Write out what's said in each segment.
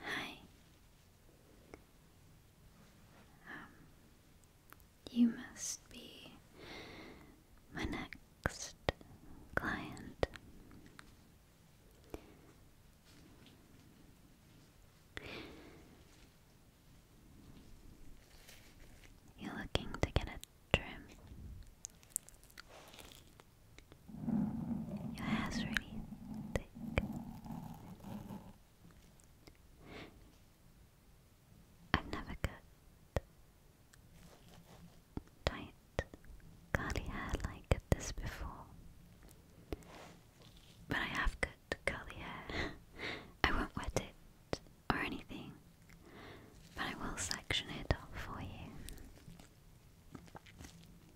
Hi. Um, you must be my next client. You're looking to get a trim. Your hair's really thick. I've never cut tight, curly hair like this before. But I have cut curly hair. I won't wet it or anything, but I will section it up for you.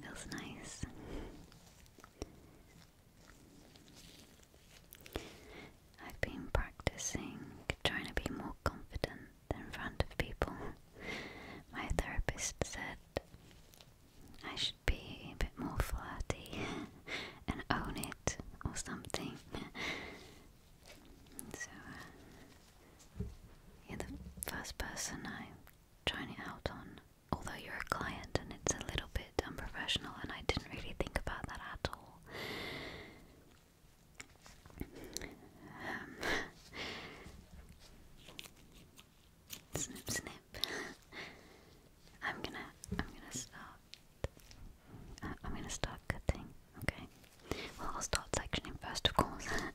Feels nice. I've been practicing trying to be more confident in front of people. My therapist said I should be a bit more flirty and own it or something. So uh, you're the first person I'm trying it out on. Although you're a client and it's a little bit unprofessional, and I didn't really think about that at all. Um, snip, snip. I'm gonna, I'm gonna start. Uh, I'm gonna start cutting. Okay. Well, I'll start sectioning first, of course.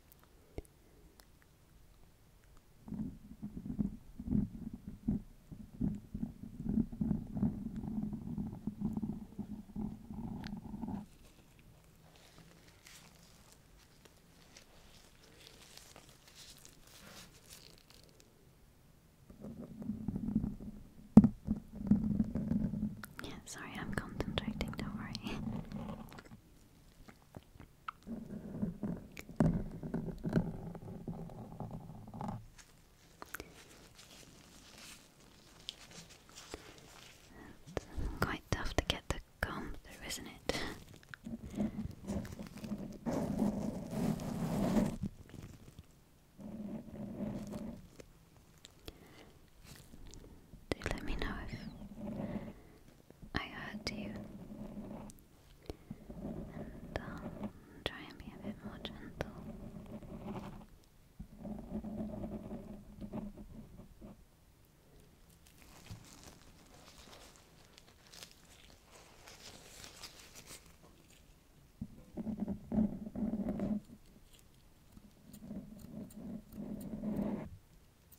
Yeah, sorry, I'm concentrating, don't worry. It's quite tough to get the gum through, isn't it? Do let me know if I hurt you. And try and be a bit more gentle.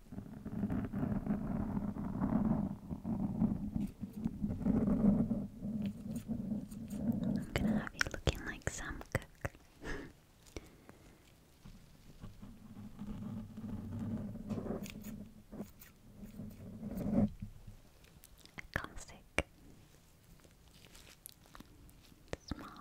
I'm gonna have you looking like some cook. classic. Smart.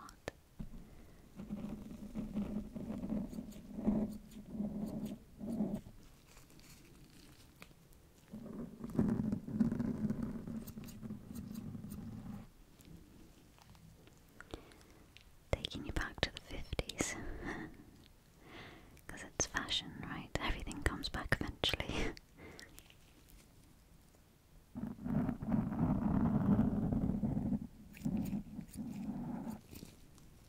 Taking you back to the 50s. Because it's fashion, right? Everything comes back eventually.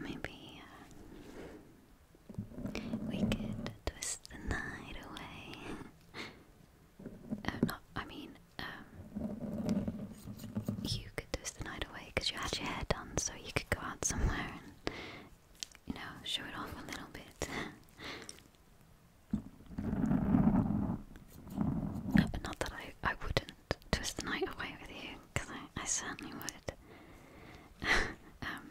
Maybe uh, we could twist the night away. uh, I mean, um, you could twist the night away because you had your hair done, so you could go out somewhere you know, show it off a little bit. Not that I, I wouldn't twist the night away with you, because I, I certainly would. Um,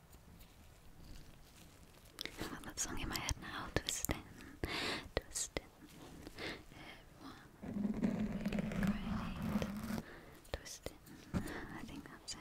I have that song in my head now. Twisting, It everyone really great. Twisting, I think that's it.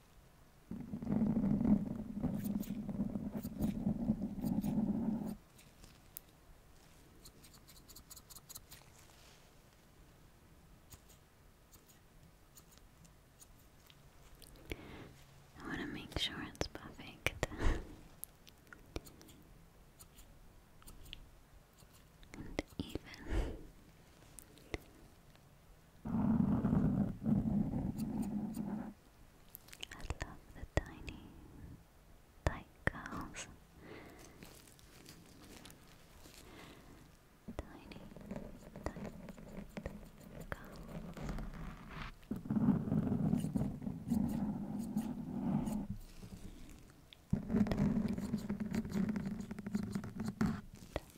I want to make sure it's perfect. and even I love the tiny tight cows. Tiny tight cows. Tiny,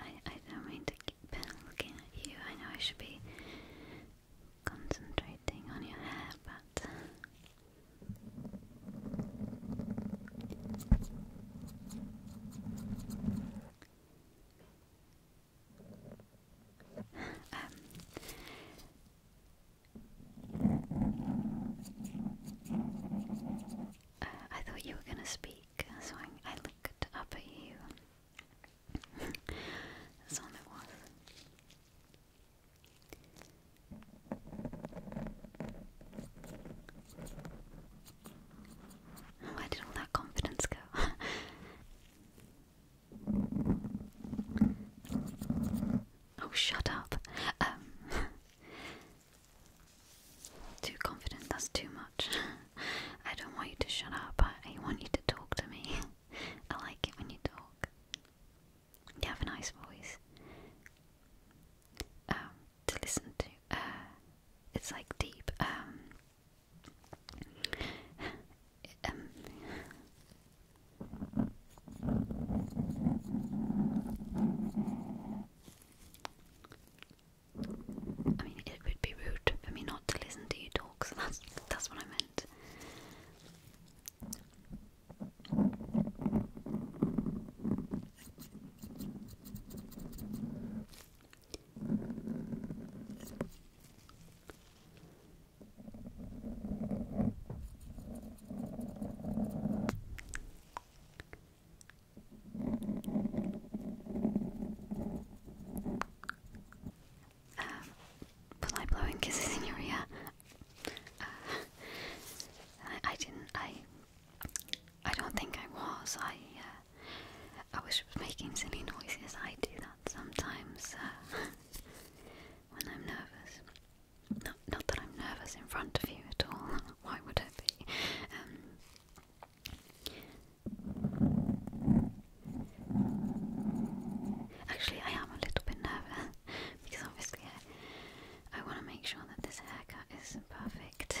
I I don't mean to keep looking at you. I know I should be concentrating on your hair, but uh, um, I thought you were gonna speak, so I, looked up at you. That's all was. Where did all that confidence go? oh, shut up. Um, Too confident, that's too much. I don't want you to shut up, I want you to talk to me. I like it when you talk. You have a nice voice. Um, to listen to. Uh, it's like deep. Um, um, I mean, it would be rude for me not to listen to you talk, so that's, that's what I meant. Um, was blowing kisses in your ear? Uh, I, didn't. I. I don't think I was. I. Uh, I wish was making silly noises. I do that sometimes uh, when I'm nervous. Not, not that I'm nervous in front of you at all. Why would I be? Um, Actually, I am a little bit nervous because obviously I, want to make sure that this haircut is perfect.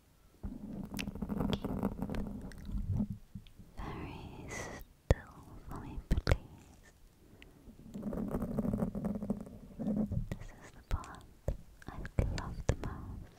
Keep very still for me, please. This is the part I love the most.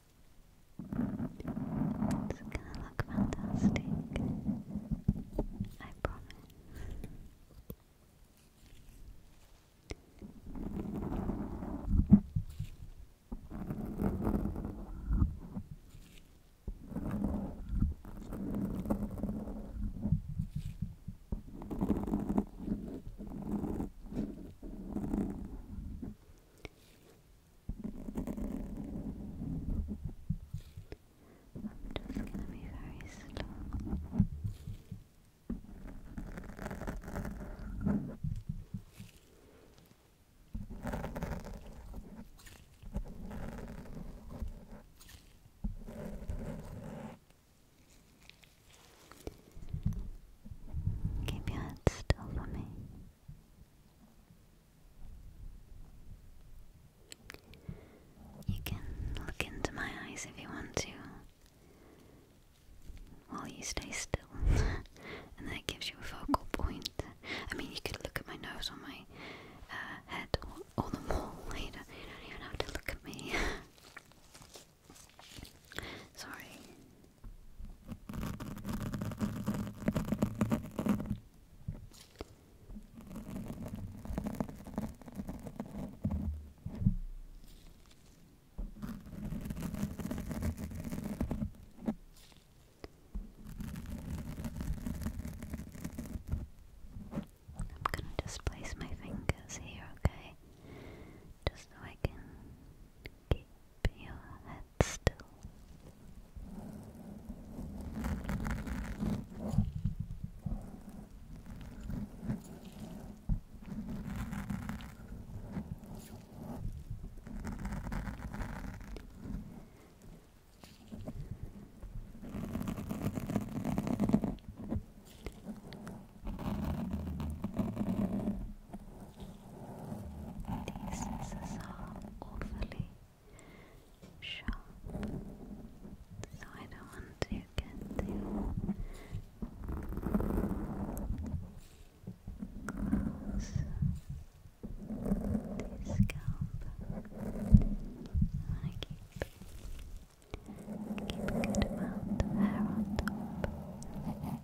It's gonna look fantastic. I promise. I'm just gonna be very slow. Keep your head still for me. You can look into my eyes if you want to while you stay still, and that gives you a focal point. I mean, you could look at my nose or my uh, head or, the wall You don't even have to look at me. Sorry. I'm going to just place my fingers here, okay? Just so I can your head still. These scissors are awfully sharp, so I don't want to get too close to scalp. I keep Keep a good amount of hair on top.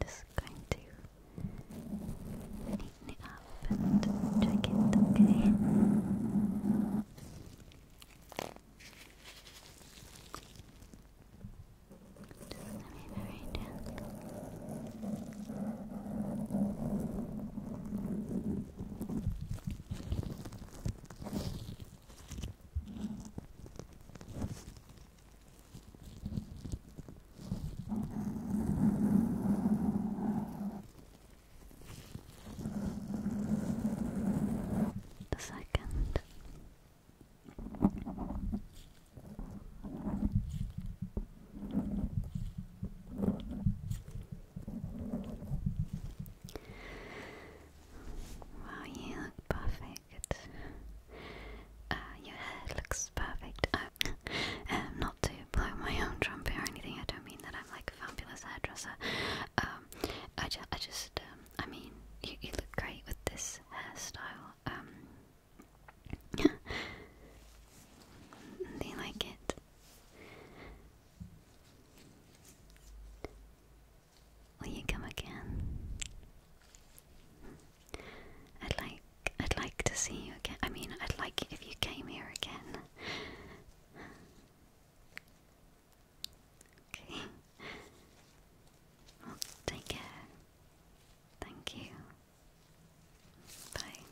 Just going to neaten it up and check it, okay? Just gonna be the second. Wow, you look perfect. Uh, your hair looks perfect. Um, not to blow my own trumpet or anything. I don't mean that I'm like a fabulous hairdresser. Um, I, ju I just, um, I mean, you, look great with this hairstyle. do you like it? Will you come again? I'd like I'd like to see you again. I mean, I'd like if you came here again. Okay. Well, take care. Thank you. Bye.